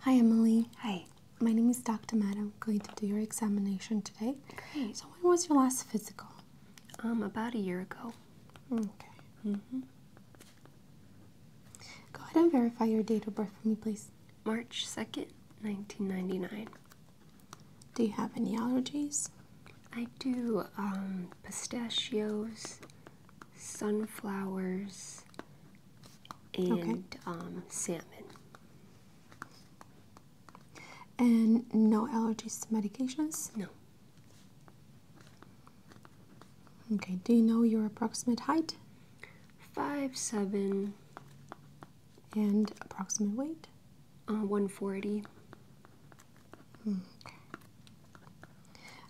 Hi, Emily. Hi. My name is Dr. Matt. I'm going to do your examination today. Great. So, when was your last physical? Um, about a year ago. Okay. Mm hmm Go ahead and verify your date of birth for me, please. March 2nd, 1999. Do you have any allergies? I do. Um, pistachios, sunflowers, and um, salmon. And no allergies to medications? No. Okay, do you know your approximate height? Five seven. And approximate weight? Uh, 140. Okay.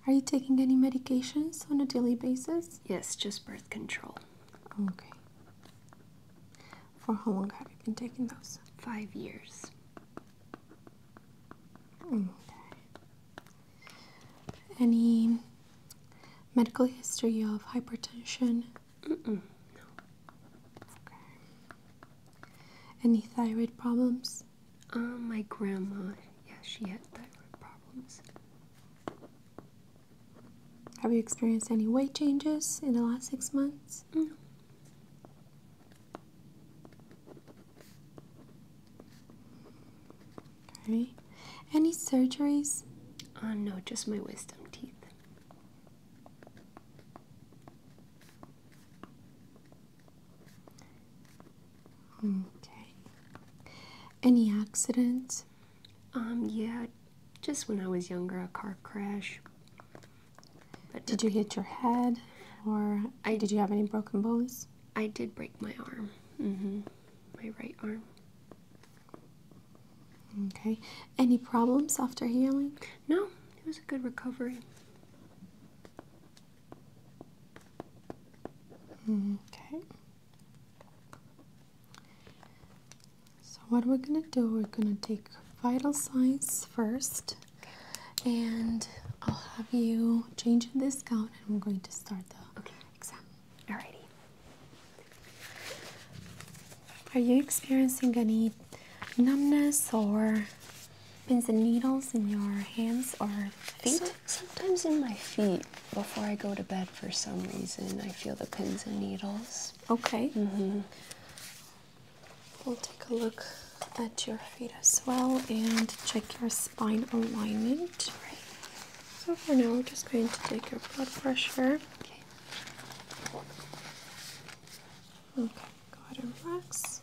Are you taking any medications on a daily basis? Yes, just birth control. Okay. For how long have you been taking those? Five years. Okay. Any medical history of hypertension? No. Okay. Any thyroid problems? Um, my grandma, yeah, she had thyroid problems. Have you experienced any weight changes in the last six months? Mm. Okay. Any surgeries? Oh, no, just my wisdom teeth. Okay. Any accidents? Um, yeah, just when I was younger, a car crash. But did you hit your head, or did you have any broken bones? I did break my arm. Mm-hmm. My right arm. Okay. Any problems after healing? No, it was a good recovery. Mm, okay. So, what we're going to do, we're going to take vital signs first, and I'll have you change this gown, and we're going to start the okay. exam. Alrighty. Are you experiencing any numbness or pins and needles in your hands or feet? Sometimes in my feet before I go to bed for some reason I feel the pins and needles. Okay. Mm-hmm. We'll take a look at your feet as well and check your spine alignment. Right. So for now we're just going to take your blood pressure. Okay. Okay, go ahead and relax.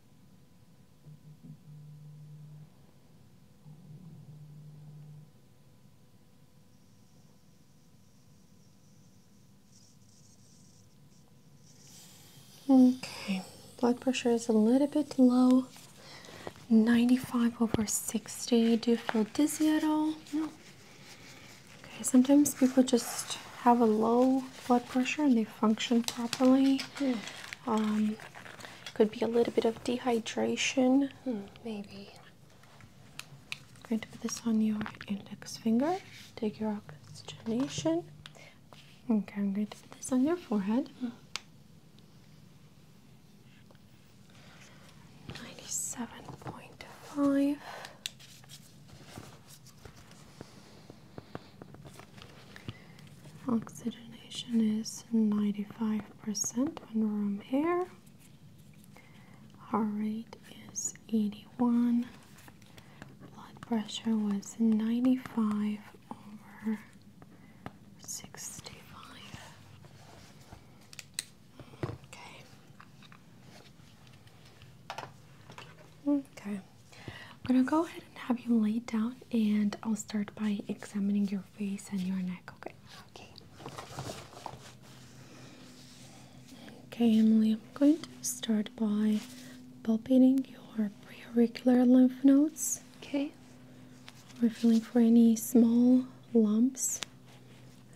Okay, blood pressure is a little bit low 95 over 60. Do you feel dizzy at all? No. Okay, sometimes people just have a low blood pressure and they function properly. Um, could be a little bit of dehydration. Hmm, maybe. I'm going to put this on your index finger. Take your oxygenation. Okay, I'm going to put this on your forehead. Hmm. 97.5. Oxygenation is 95% when room air. Heart rate is 81. Blood pressure was 95 over 65. Okay. Okay. I'm gonna go ahead and have you lay down, and I'll start by examining your face and your neck. Okay. Okay. Okay, Emily. I'm going to start by palpating your preauricular lymph nodes. Okay. We're feeling for any small lumps.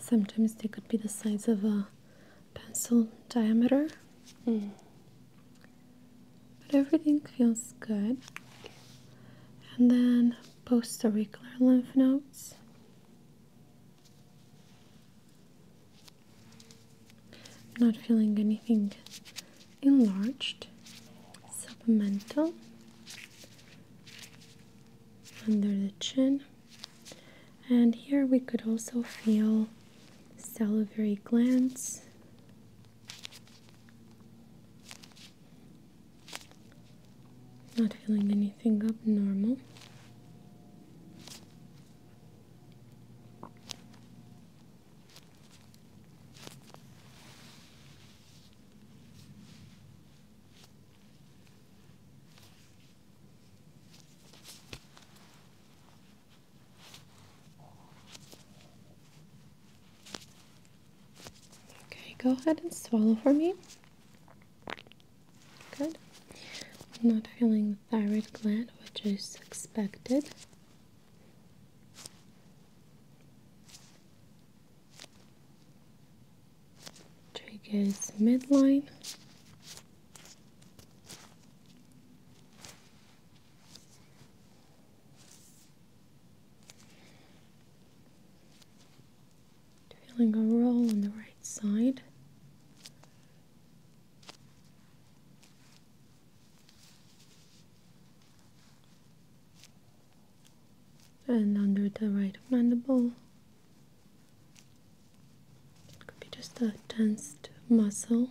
Sometimes they could be the size of a pencil diameter. Hmm. But everything feels good. And then post lymph nodes. not feeling anything enlarged. Submental. Under the chin. And here we could also feel salivary glands, not feeling anything abnormal. Okay, go ahead and swallow for me. Good. I'm not feeling the thyroid gland, which is expected. Take is midline. Feeling a roll on the right side. And under the right mandible, it could be just a tensed muscle.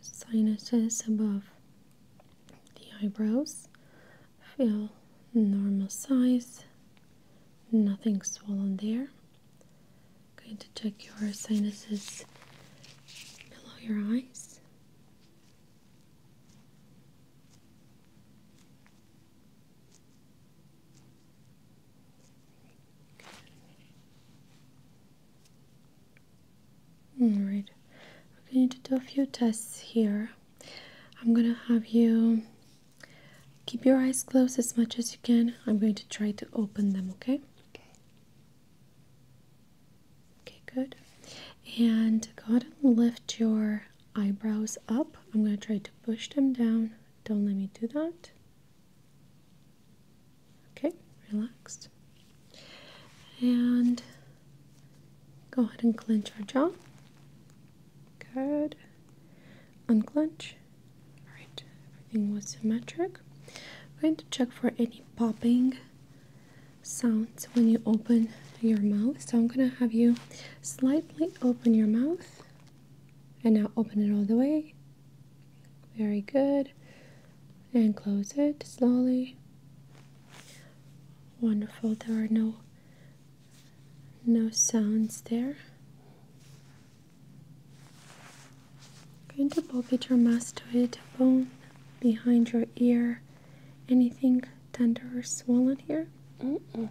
Sinuses above the eyebrows feel normal size, nothing swollen there. I'm going to check your sinuses below your eyes. Alright, we're going to do a few tests here. I'm gonna have you keep your eyes closed as much as you can. I'm going to try to open them, okay? Okay. Okay, good. And go ahead and lift your eyebrows up. I'm gonna try to push them down don't let me do that. Okay, relaxed. And go ahead and clench our jaw. Good. Unclench. Alright, everything was symmetric. I'm going to check for any popping sounds when you open your mouth. So I'm going to have you slightly open your mouth and now open it all the way. Very good. And close it slowly. Wonderful. There are no no sounds there. Going to palpate your mastoid bone behind your ear. Anything tender or swollen here? Mm -mm.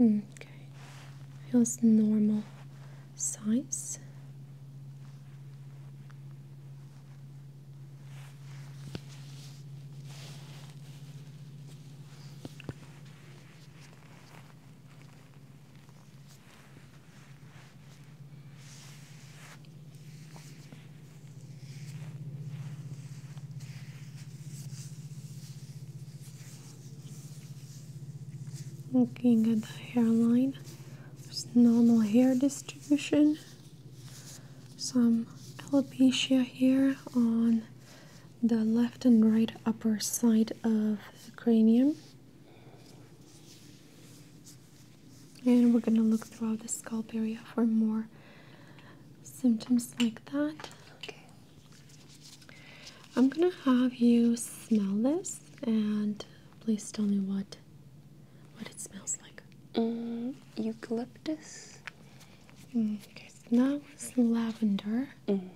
Mm, okay. Feels normal size. Looking at the hairline, there's normal hair distribution, some alopecia here on the left and right upper side of the cranium. And we're going to look throughout the scalp area for more symptoms like that. Okay. I'm gonna have you smell this and please tell me what what it smells like. Mm, eucalyptus. Mm, okay, so now lavender. Mm.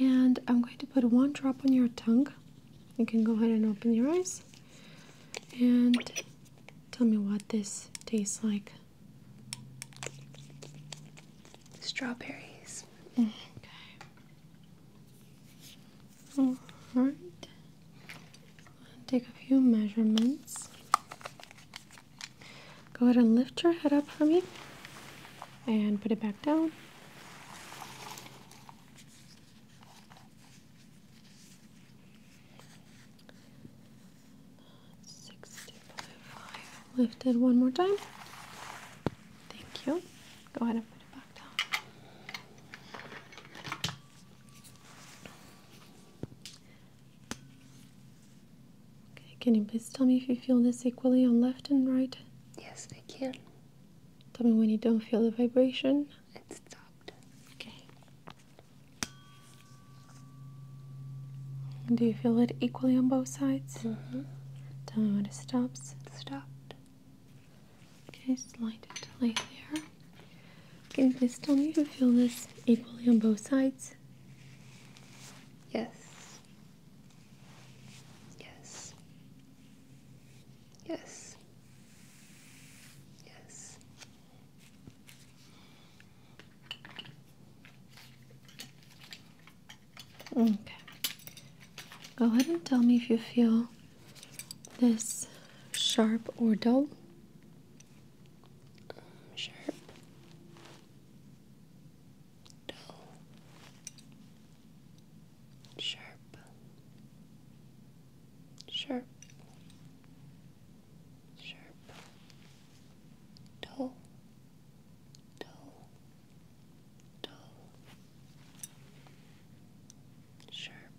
And I'm going to put one drop on your tongue. You can go ahead and open your eyes and tell me what this tastes like. Strawberries. Okay. All right. Take a few measurements. Go ahead and lift your head up for me and put it back down. 65. Lift one more time. Thank you. Go ahead and put it back down. Okay, can you please tell me if you feel this equally on left and right? Yes, I can. Tell me when you don't feel the vibration. It stopped. Okay. Do you feel it equally on both sides? Mm-hmm. Tell me when it stops. It's stopped. Okay, slide it lay there. Can you please tell me if you feel this equally on both sides? Yes. Yes. Yes. Yes. Okay. Go ahead and tell me if you feel this sharp or dull. Sharp. Dull. Sharp. Sharp. Sharp. Dull. Toe. Toe. Sharp.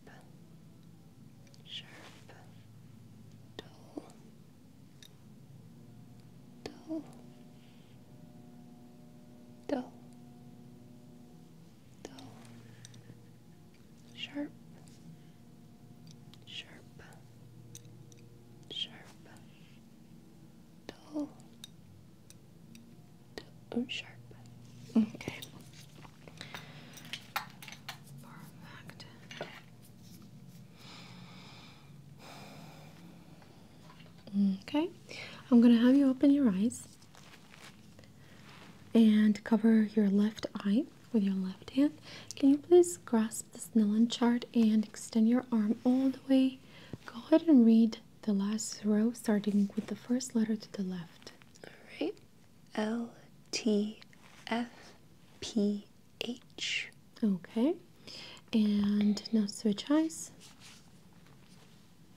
Sharp. Toe. Toe. Toe. Toe. Sharp. Sharp. Sharp dull, dull, sharp. Okay. Perfect. Okay, I'm gonna have you open your eyes and cover your left eye with your left hand. Can you please is grasp this Snellen chart and extend your arm all the way. Go ahead and read the last row, starting with the first letter to the left. All right. L T F P H. Okay. And now switch eyes.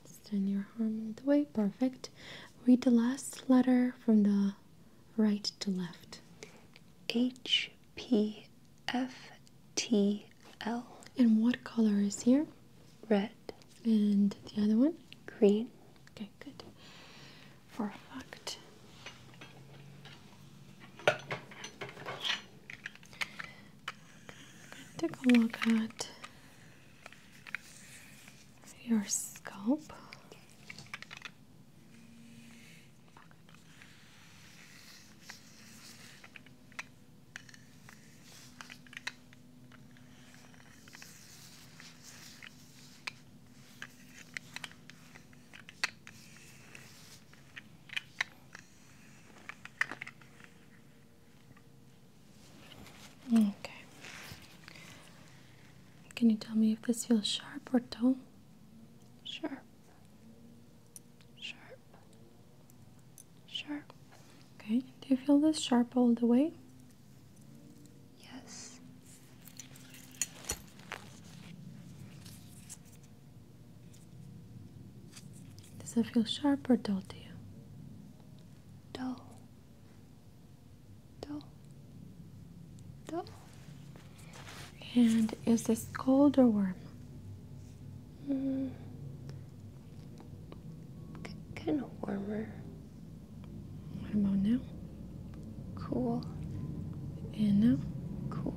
Extend your arm all the way. Perfect. Read the last letter from the right to left. H P, F, T, L. And what color is here? Red. And the other one? Green. Okay, good. For a fact. take a look at your scalp. Okay. Can you tell me if this feels sharp or dull? Sharp sharp, sharp. Okay, do you feel this sharp all the way? Yes. Does it feel sharp or dull to you? Dull. Dull. Dull. And is this cold or warm? Mm. kind of warmer. What about now? Cool. And now? Cool.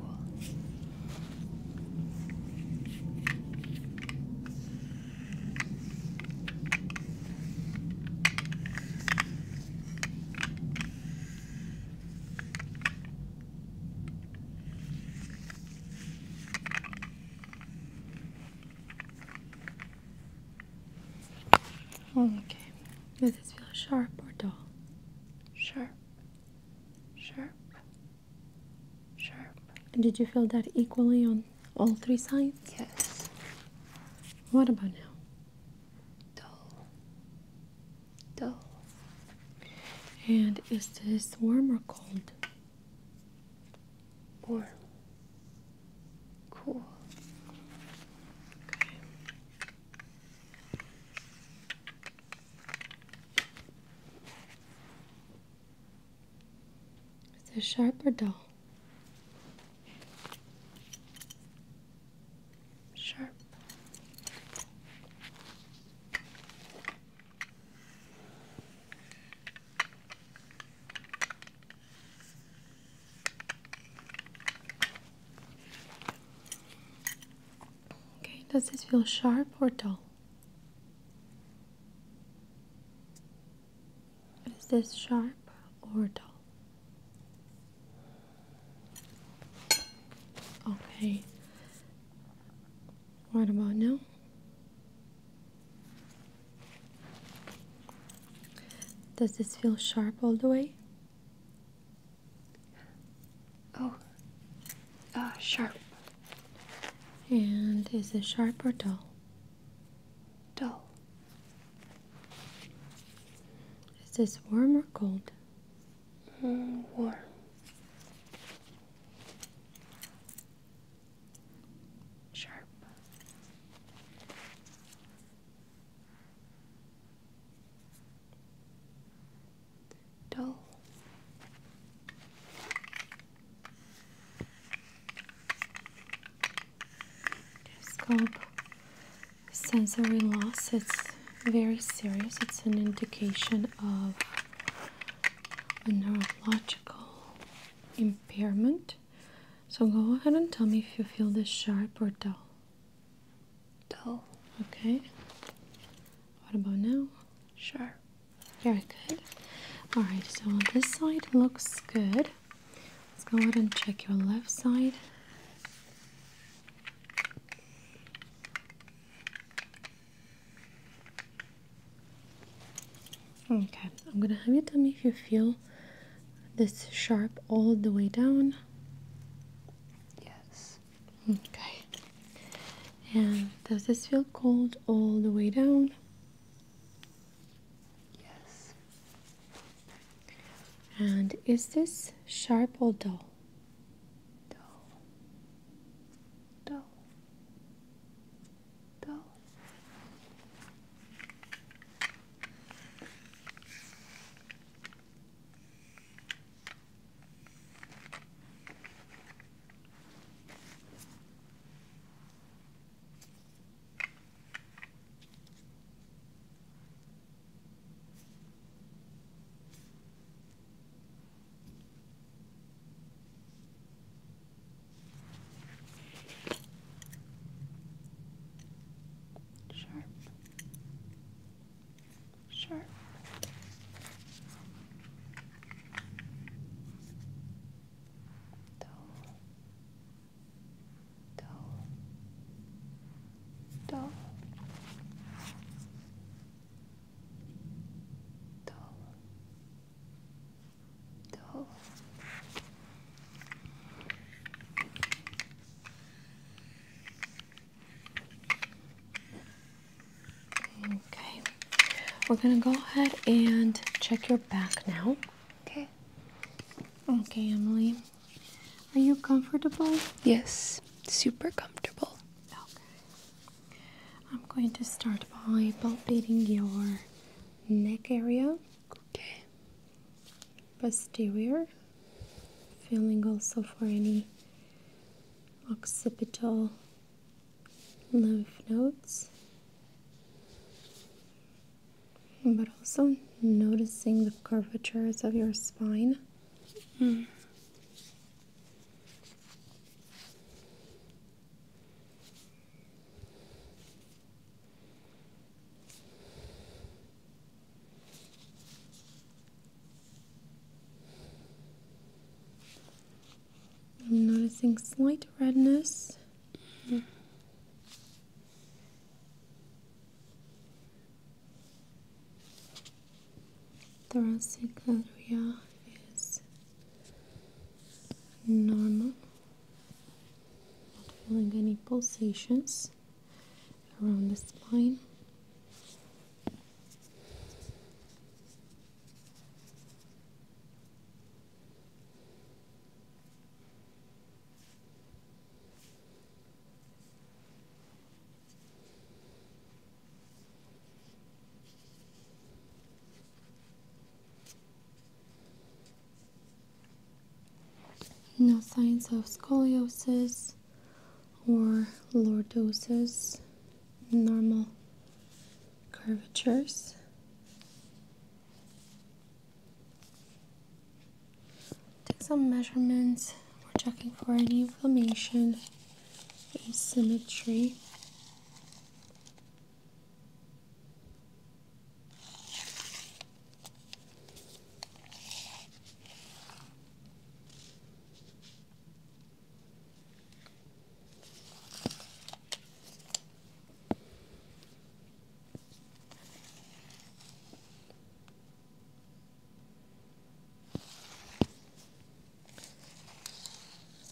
Okay. Does this feel sharp or dull? Sharp. Sharp. Sharp. And did you feel that equally on all three sides? Yes. What about now? Dull dull. And is this warm or cold? Warm. Cool. Okay. Is this sharp or dull? sharp. Okay, does this feel sharp or dull? Is this sharp or dull? Okay, what about now? Does this feel sharp all the way? Oh, uh, sharp. And is it sharp or dull? Dull. Is this warm or cold? mm, warm. Sharp. Dull. Telescope sensory loss. It's very serious. It's an indication of a neurological impairment. So go ahead and tell me if you feel this sharp or dull. Dull. Okay. What about now? Sharp. Very good. Alright, so this side looks good. Let's go ahead and check your left side. Okay, I'm gonna have you tell me if you feel this sharp all the way down. Yes. Okay. And does this feel cold all the way down? Yes. And is this sharp or dull? Dull dull, dull. Sharp, sharp. Dull, dull, dull, Okay, we're gonna go ahead and check your back now. Okay. Okay, Emily. Are you comfortable? Yes, super comfortable. Okay. I'm going to start by palpating your neck area. Posterior. Feeling also for any occipital lymph nodes. But also noticing the curvatures of your spine. Hmm. I'm noticing slight redness thoracic area is normal, not feeling any pulsations around the spine. No signs of scoliosis or lordosis, normal curvatures. Take some measurements. We're checking for any inflammation symmetry.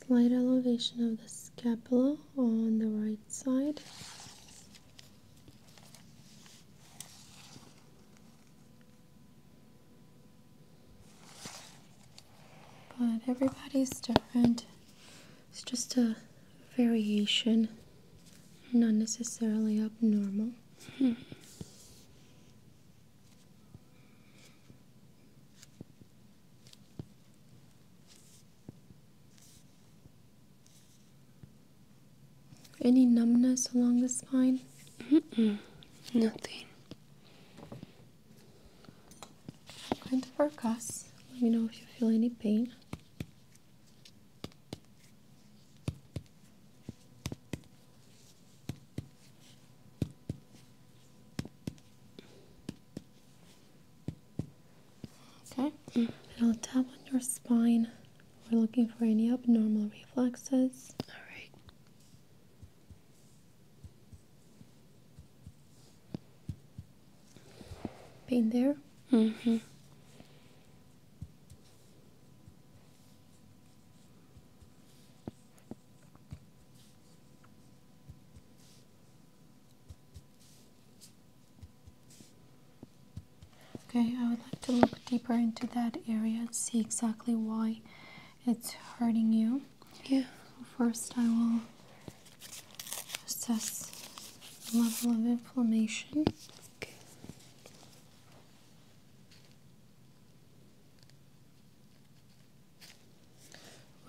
Slight elevation of the scapula on the right side. But everybody's different. It's just a variation, not necessarily abnormal. Any numbness along the spine? Nothing. I'm going to focus. let me know if you feel any pain. Okay, and mm. I'll tap on your spine. We're looking for any abnormal reflexes. All right. Pain there? Mm-hmm. Okay, I would like to look deeper into that area and see exactly why it's hurting you. Yeah. First, I will assess level of inflammation.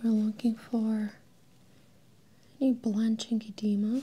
We're looking for any blanching edema.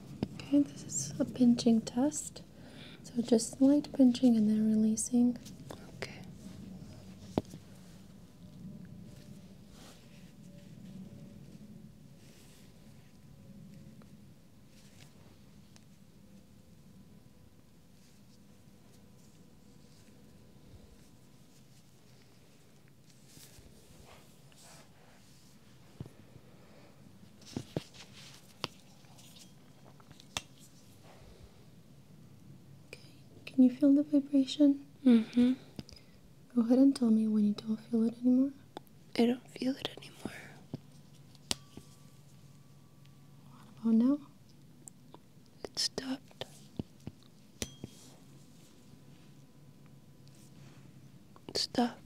Okay, this is a pinching test. So just light pinching and then releasing. Okay can you feel the vibration? hmm Go ahead and tell me when you don't feel it anymore. I don't feel it anymore. What about It stopped. Stop.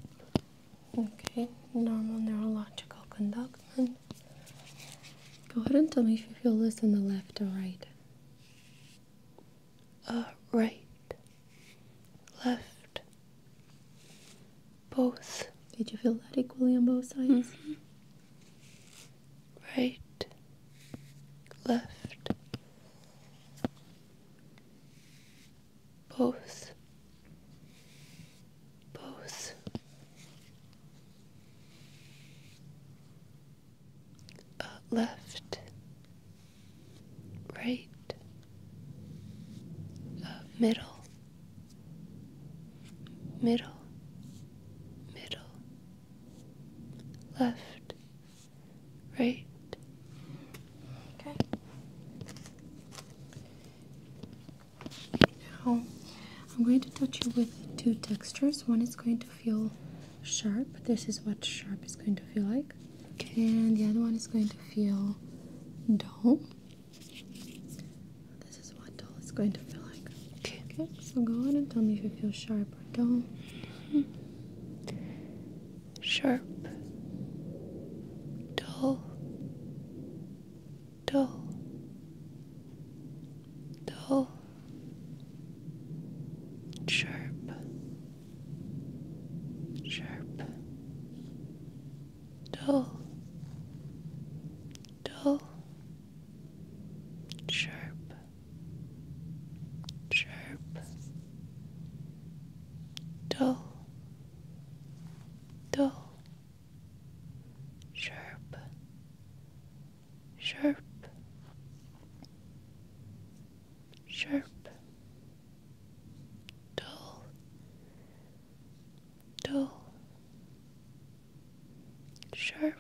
Okay, normal neurological conduct. Go ahead and tell me if you feel this on the left or right. Uh, right, left, both. Did you feel that equally on both sides? Mm-hmm. Right, left, both, both, uh, left, right, uh, middle, middle, middle, left, right. Okay. Now, I'm going to touch you with two textures. One is going to feel sharp. This is what sharp is going to feel like. And the other one is going to feel dull. This is what dull is going to feel like. Okay. okay so go ahead and tell me if you feel sharp or dull. Hmm sharp, dull, dull, dull, sharp, sharp, dull, dull, sharp, sharp, dull dull, sharp, sharp, sharp, dull, dull, sharp,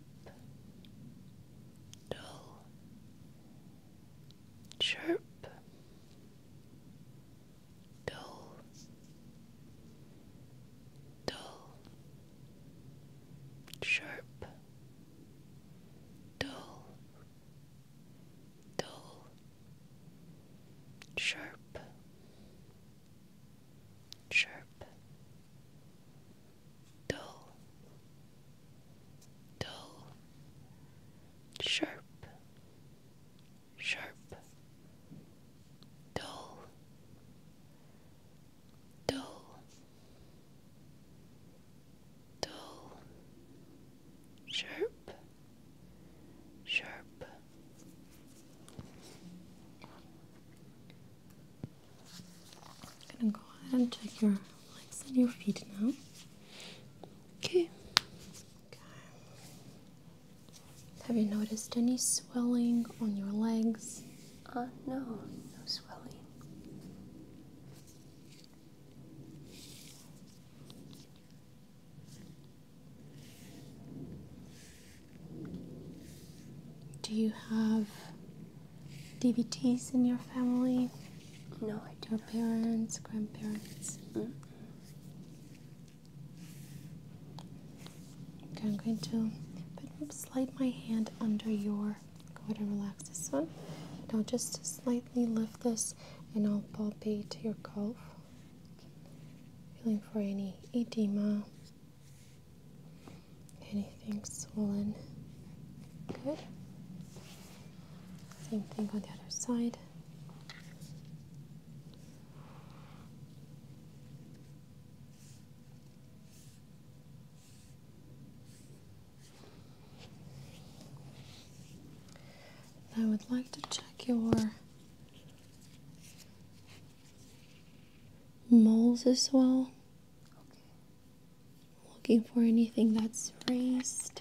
dull, sharp dull, dull, sharp, dull, dull, sharp, sharp, dull, dull, sharp sharp, dull, dull, dull, sharp, sharp. I'm gonna go ahead and check your legs and your feet now. Okay. Okay. Have you noticed any swelling on your legs? Uh, no, no swelling. Do you have DVTs in your family? No, I don't. Your parents, grandparents? Mm -mm. Okay, I'm going to slide my hand under your. Go ahead and relax this one. I'll just slightly lift this, and I'll palpate your calf, Feeling for any edema, anything swollen. Good. Same thing on the other side. I would like to check your moles as well. Looking for anything that's raised.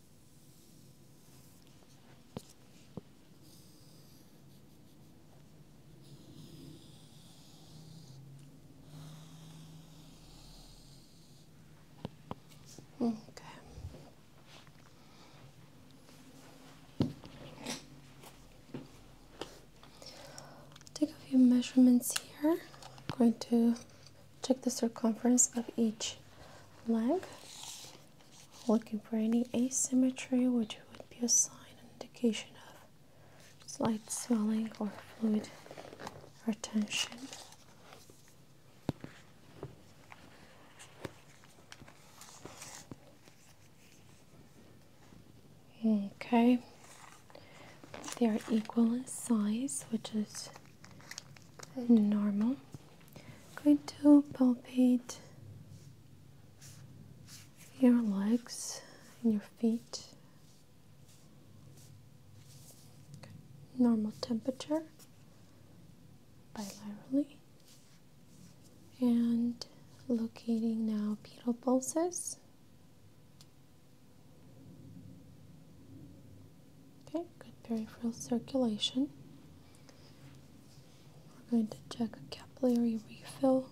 Okay. Take a few measurements here. I'm going to check the circumference of each leg looking for any asymmetry which would be a sign indication of slight swelling or fluid retention okay they are equal in size which is normal going to palpate your legs and your feet. Normal temperature bilaterally. And locating now pedal pulses. Okay, good peripheral circulation. We're going to check a capillary refill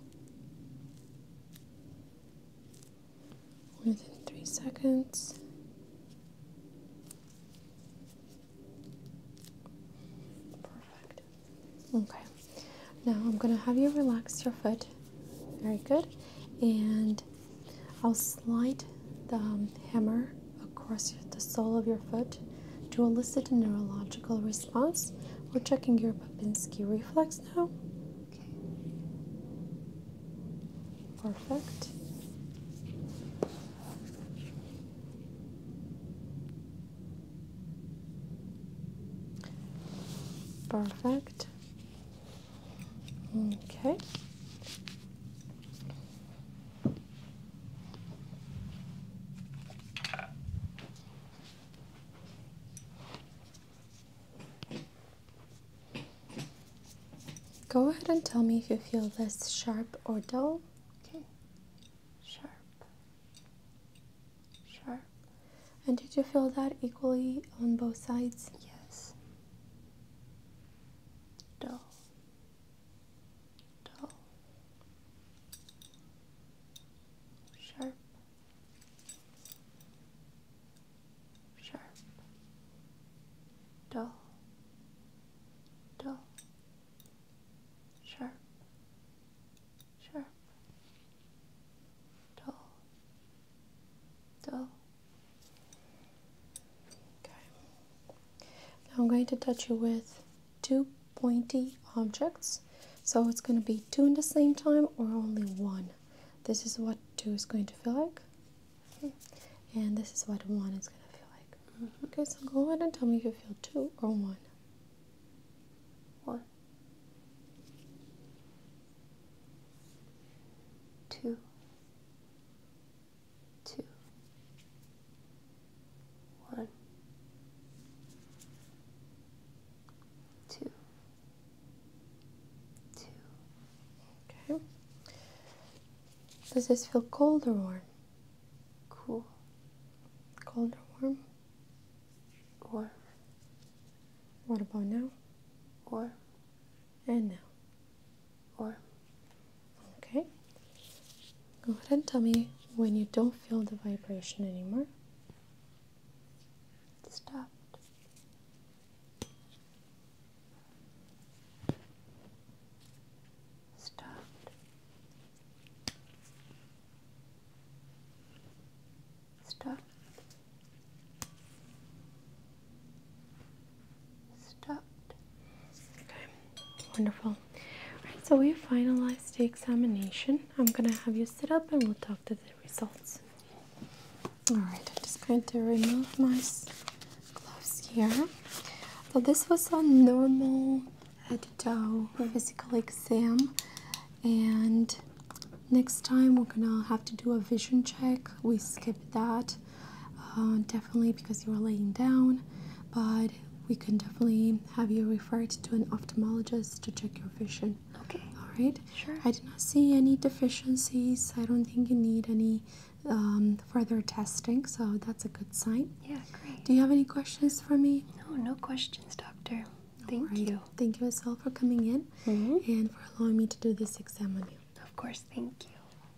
within three seconds. Perfect. Okay, now I'm going to have you relax your foot. Very good. And I'll slide the um, hammer across the sole of your foot to elicit a neurological response. We're checking your Babinski reflex now. Okay. Perfect. Perfect. Okay. Go ahead and tell me if you feel this sharp or dull. Okay. Sharp. Sharp. And did you feel that equally on both sides? Yes. Dull dull, sharp, sharp, dull, dull, sharp, sharp, dull, dull. Now I'm going to touch you with two pointy objects. So it's going to be two in the same time or only one. This is what two is going to feel like. And this is what one is going to feel like. Mm-hmm. Okay, so go ahead and tell me if you feel two or one. One. Two two, one, two, two. Okay. Does this feel cold or warm? Cool. Cold or warm? Warm. What about now? Warm and now. Or, okay. Go ahead and tell me when you don't feel the vibration anymore. Stop. Stop. Stop stopped. Okay, wonderful. Alright, so we finalized the examination. I'm gonna have you sit up and we'll talk to the results. Alright, I'm just going to remove my gloves here. So, this was a normal head to toe physical exam, and next time we're gonna have to do a vision check. We skipped that uh, definitely because you are laying down, but we can definitely have you referred to an ophthalmologist to check your vision. Okay. All right. Sure. I did not see any deficiencies. I don't think you need any um, further testing, so that's a good sign. Yeah, great. Do you have any questions for me? No, no questions, doctor. Thank you. Thank you as well for coming in mm-hmm. and for allowing me to do this exam on you. Of course, thank you.